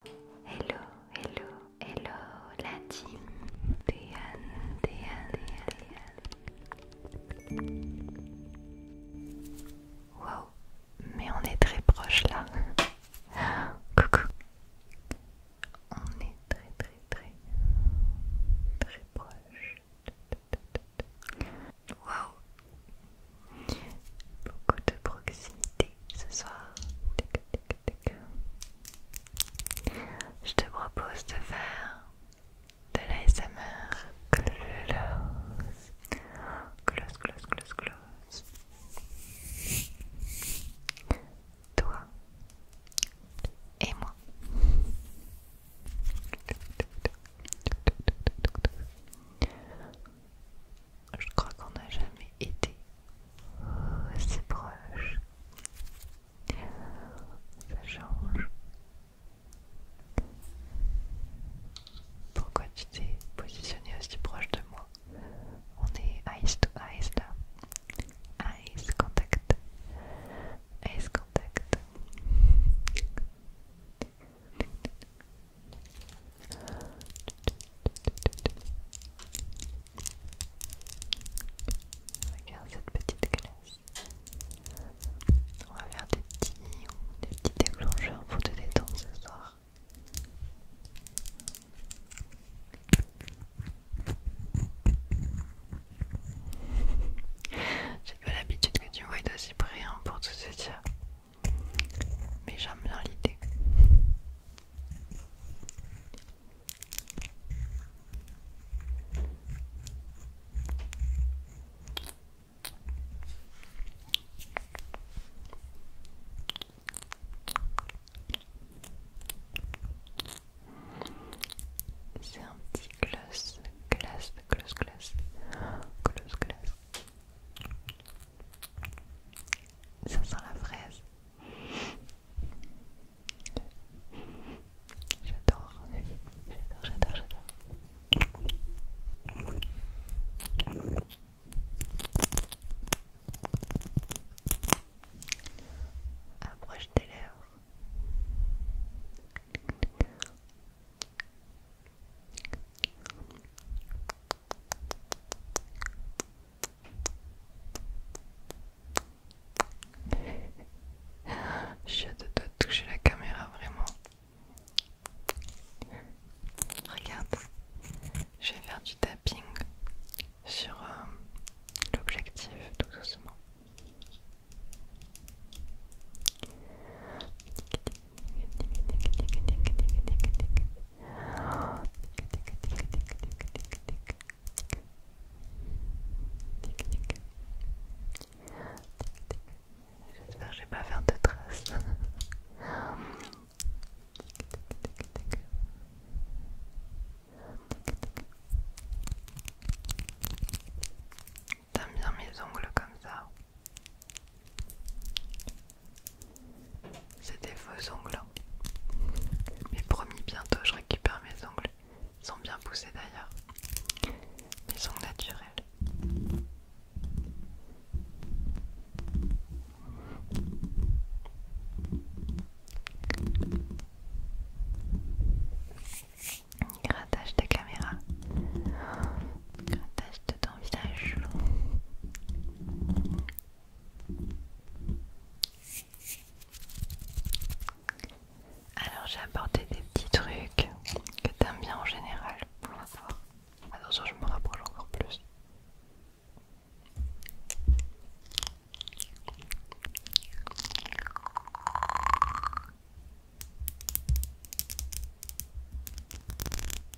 Hello, hello, hello, la team Théane, Théane, Théane. Wow, mais on est très proche là. Coucou. On est très, très, très, très proche. Wow. Beaucoup de proximité ce soir, je te propose de faire de l'ASMR close, close, close, close, close. Toi et moi je crois qu'on n'a jamais été aussi proche. Ça change. Pourquoi tu t'es positionné aussi proche de moi On est eyes to eyes là. Eyes contact. Eyes contact. Regarde cette petite glace. On va faire des petits, des petits déclencheurs pour te détendre ce soir. J'ai pas l'habitude que tu me voyes d'aussi près pour tout dire mais j'aime bien l'idée. C'est un petit glace, glace, glace, glace, glace, glace. Ça sent la fraise. J'adore, j'adore, j'adore. Approche tes lèvres. J'ai hâte de toucher la caméra vraiment. Regarde, je vais faire du tapping sur l'objectif tout doucement. J'espère que je pas faire de traces. T'aimes bien mes ongles comme ça c'est des faux ongles. Hein. Mais promis, bientôt je récupère mes ongles. Ils sont bien poussés d'ailleurs. Ils sont naturels. Grattage de caméra. Grattage de ton visage. Alors j'ai apporté des petits trucs que t'aimes bien en général. pour va Attention, je me rapproche encore plus.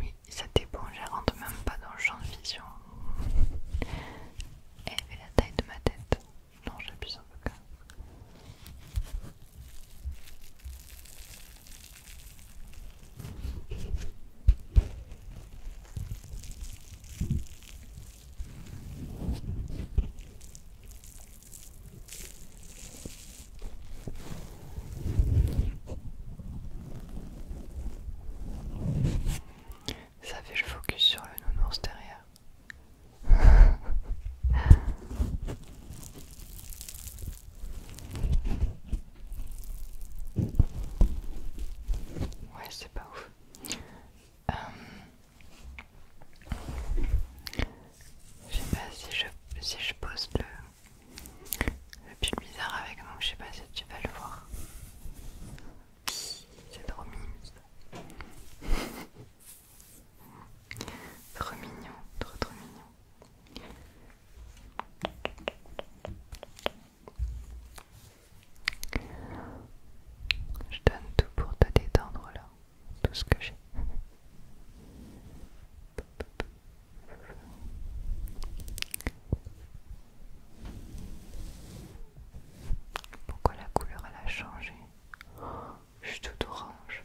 Mais ça dépend, je rentre même pas dans le champ de vision. Elle fait la taille de ma tête. Non, j'appuie un peu quand ça fait le focus sur le nounours derrière. ouais, c'est pas ouf. Euh, je sais pas si je, pose le, le bizarre avec moi, je sais pas si tu vas le voir. C'est trop mignon. trop mignon, trop trop mignon. Je donne tout pour te détendre là, tout ce que j'ai. Pourquoi la couleur elle a changé Je suis tout orange.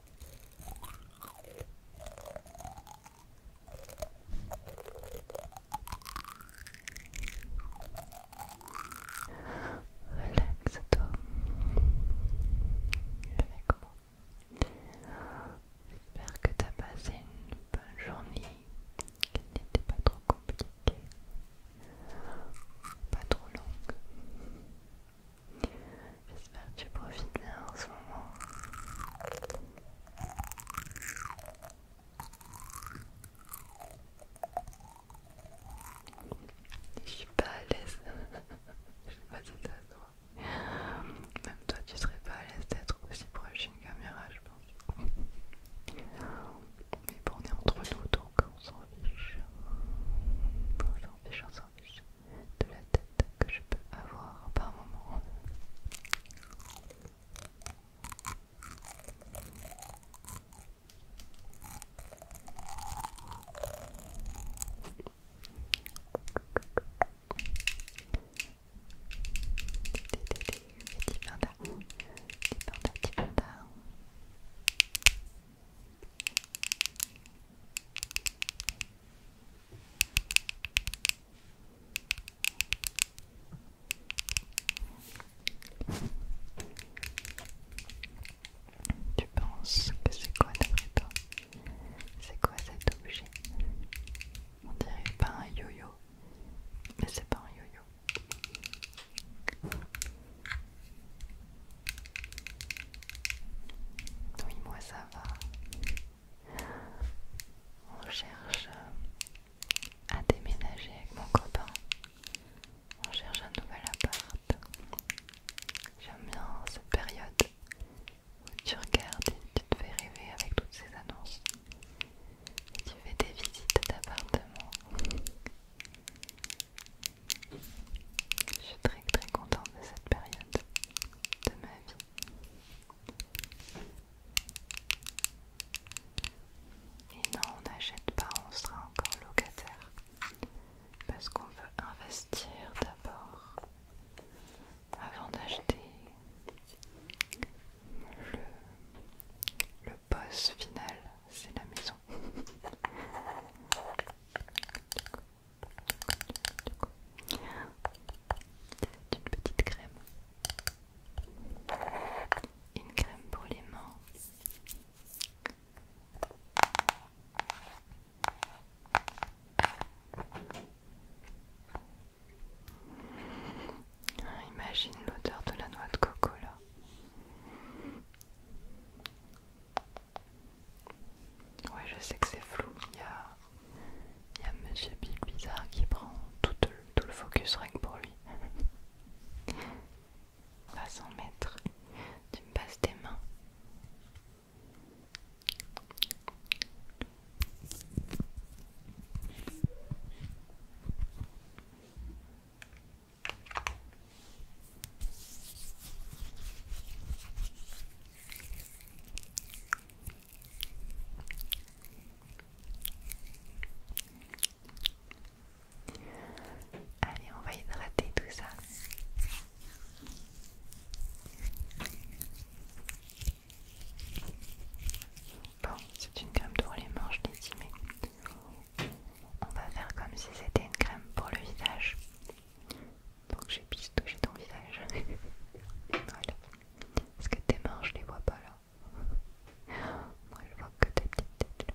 Relaxe-toi relaxe J'espère que tu as passé une bonne journée, qu'elle n'était pas trop compliquée, pas trop longue. J'espère que tu profites bien en ce moment. Je suis pas à l'aise. Je sais pas si t'as Même toi, tu serais pas à l'aise d'être aussi proche d'une caméra, je pense. Mais bon, on est entre nous, donc on s'en fiche. On s'en fiche, de la tête que je peux avoir par moment. Petit panda, petit panda, petit panda. Tu penses que c'est quoi d'après toi C'est quoi cet objet On dirait pas un yo-yo, mais c'est pas un yo-yo. Oui, moi ça va. On cherche euh, à déménager avec mon copain. On cherche un nouvel appart. J'aime bien cette période où tu regardes et tu te fais rêver avec toutes ces annonces. tu fais des visites d'appartements. Je suis très très contente de cette période de ma vie. Et non, on n'achète pas, on sera encore locataire. Parce qu'on veut investir d'abord avant d'acheter le, poste final, c'est la maison. C'est une petite crème. Une crème pour les mains. Ah, imagine l'odeur de la noix de coco là. Ouais, je sais que c'est flou. Il y a, Monsieur Bizarre qui prend tout le, focus rien pour lui. Pas sans mettre. Tu me passes tes mains. Allez, on va hydrater tout ça. Bon, c'est une crème pour les manches mais On va faire comme si c'était une crème pour le visage. Donc j'ai pistouché ton visage. que tes mains, je les vois pas là Moi, je vois que tes petites têtes là.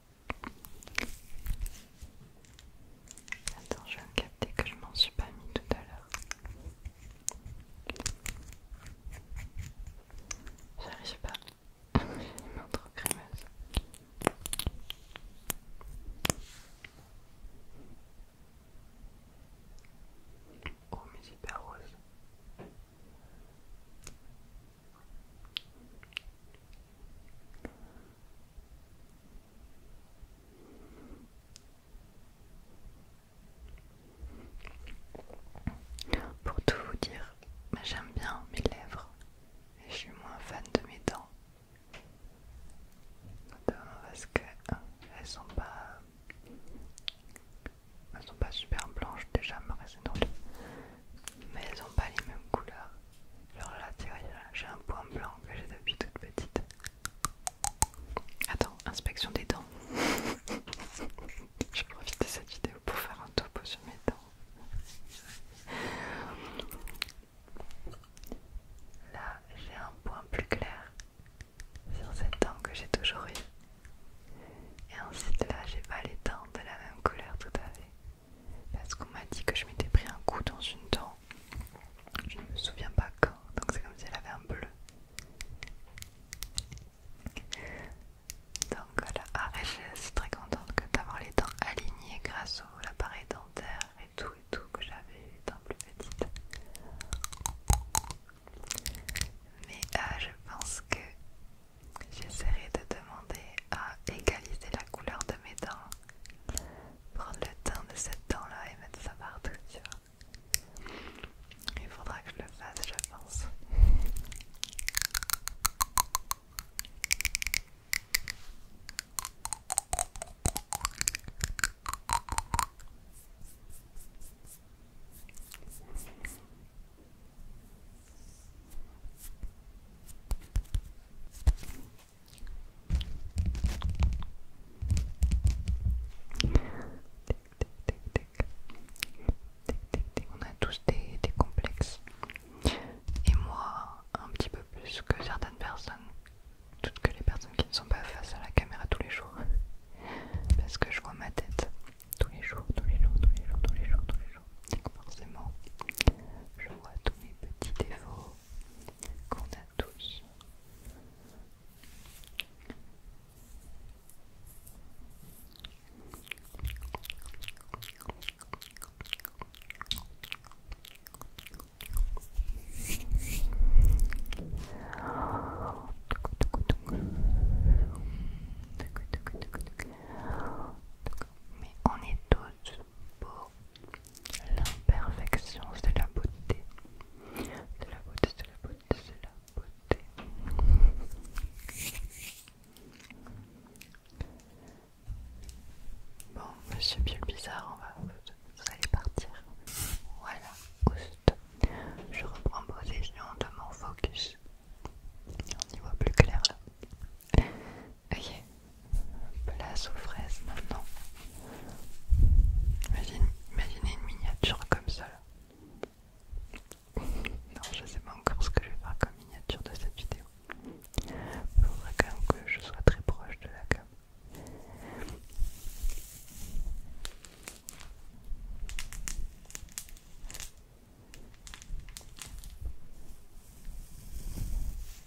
Attends, je vais me capter que je m'en suis pas mis tout à l'heure. J'arrive pas. J'ai les mains trop crémeuses. Oh mais c'est hyper rose. Pour tout vous dire, bah, j'aime bien mes lèvres et je suis moins fan de mes dents. Notamment parce qu'elles euh, sont pas. Elles sont pas super blanches déjà, me Mais elles ont pas les mêmes couleurs. Alors là, tu vois, j'ai un point blanc que j'ai depuis toute petite. Attends, inspection des dents. Je profite de cette vidéo pour faire un topo sur mes dents. Là, j'ai un point plus clair sur cette dent que j'ai toujours eu. Et ensuite là, j'ai pas les dents de la même couleur tout à fait parce qu'on m'a dit que je m'étais pris un coup dans une dent. Je ne me souviens pas quand, donc c'est comme si elle avait un bleu. Donc voilà, ah, je suis très contente d'avoir les dents alignées grâce au l'appareil dentaire et tout et tout que j'avais eu dents plus petite. Mais euh, je pense que j'essaierai de demander à égaliser la couleur de mes dents prendre le teint de cette dent-là et mettre ça partout, tu vois. Il faudra que je le fasse, je pense. On a tous des, des complexes. Et moi, un petit peu plus que certaines personnes. Toutes que les personnes qui ne sont pas face à la caméra tous les jours. Parce que je vois ma tête tous les jours, tous les jours, tous les jours, tous les jours, tous les jours. Donc forcément, je vois tous mes petits défauts, qu'on a tous. Mais on est tous pour l'imperfection, c'est la beauté. C'est la beauté, c'est la beauté, c'est la beauté. Bon, monsieur Bill Bizarre, on va, vous allez partir. Voilà, juste. Je reprends position de mon focus. On y voit plus clair là. Ok, place aux fraises maintenant. imaginez une miniature comme ça. Non, je sais pas encore ce que je vais faire comme miniature de cette vidéo. Il faudrait quand même que je sois très proche de la cam.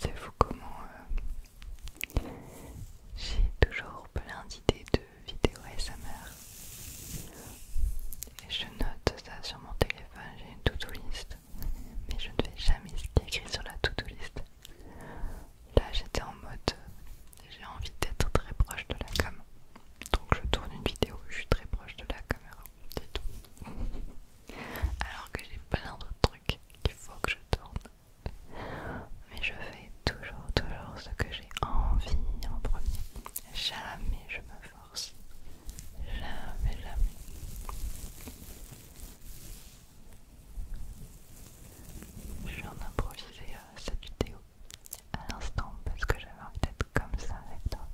C'est fou comment euh, j'ai toujours plein d'idées de vidéos ASMR. Et je note ça sur mon téléphone, j'ai une to-do list, mais je ne fais jamais ce qui écrit sur la to-do list. Là j'étais en mode, j'ai envie d'être très proche de la cam, donc je tourne une vidéo, je suis très proche de la caméra, c'est tout. Alors que j'ai plein d'autres trucs qu'il faut que je tourne. Mais je fais toujours, toujours ce que j'ai envie en premier. Jamais je me force. Jamais, jamais. Je viens d'improviser euh, cette vidéo à l'instant parce que j'avais envie d'être comme ça avec toi.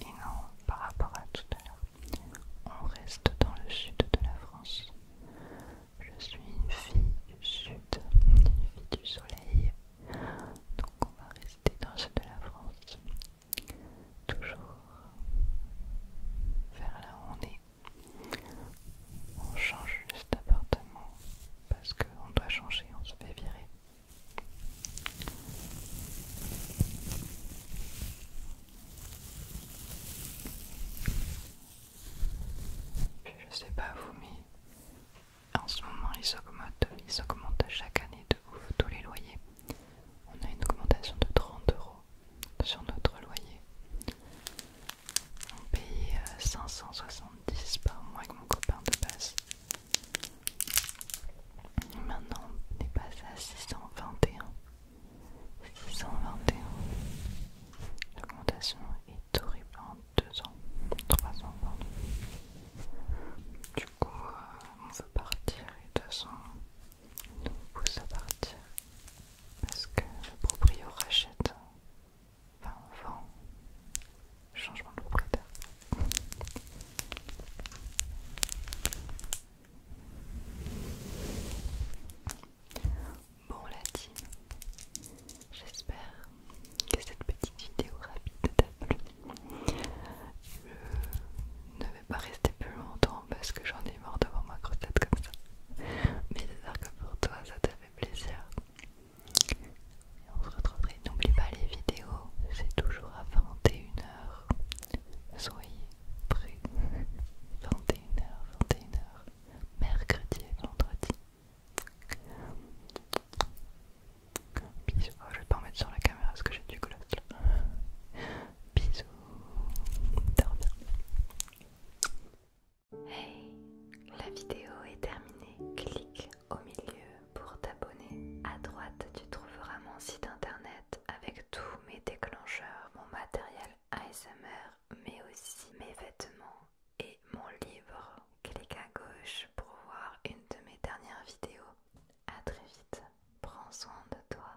Et non, par rapport à tout à l'heure, on reste dans le sud de la France. Je suis une fille du sud, une fille du soleil, donc on va rester dans le sud de la France toujours vers là où on est. On change juste d'appartement parce qu'on doit changer, on se fait virer. je sais pas vous, mais en ce moment ils augmentent, ils augmentent chaque année de ouf tous les loyers. On a une augmentation de 30 euros sur notre loyer. On payait 570 euh, par mois avec mon copain de base. Maintenant, on est passé à 621. 621. L'augmentation est horrible en 2 ans, Trois ans Du coup, euh, on veut partir et 200 nous pousse à partir parce que le proprio rachète, enfin vend, changement de propriétaire. Bon la team, j'espère que cette petite vidéo rapide t'a plu. Je vais pas rester plus longtemps parce que j'en ai marre devant ma grosse tête comme ça. Mais j'espère que pour toi ça t'a fait plaisir. Et on se retrouvera. N'oublie pas les vidéos, c'est toujours à 21h. Soyez prêts. 21h, 21h. Mercredi et vendredi. Oh, je vais pas en mettre sur la caméra parce que j'ai du gloss Bisous. Dors Hey, la vidéo est terminée. Clique au milieu pour t'abonner. À droite, tu trouveras mon site internet avec tous mes déclencheurs, mon matériel ASMR, mais aussi mes vêtements et mon livre. Clique à gauche pour voir une de mes dernières vidéos. À très vite. Prends soin de toi.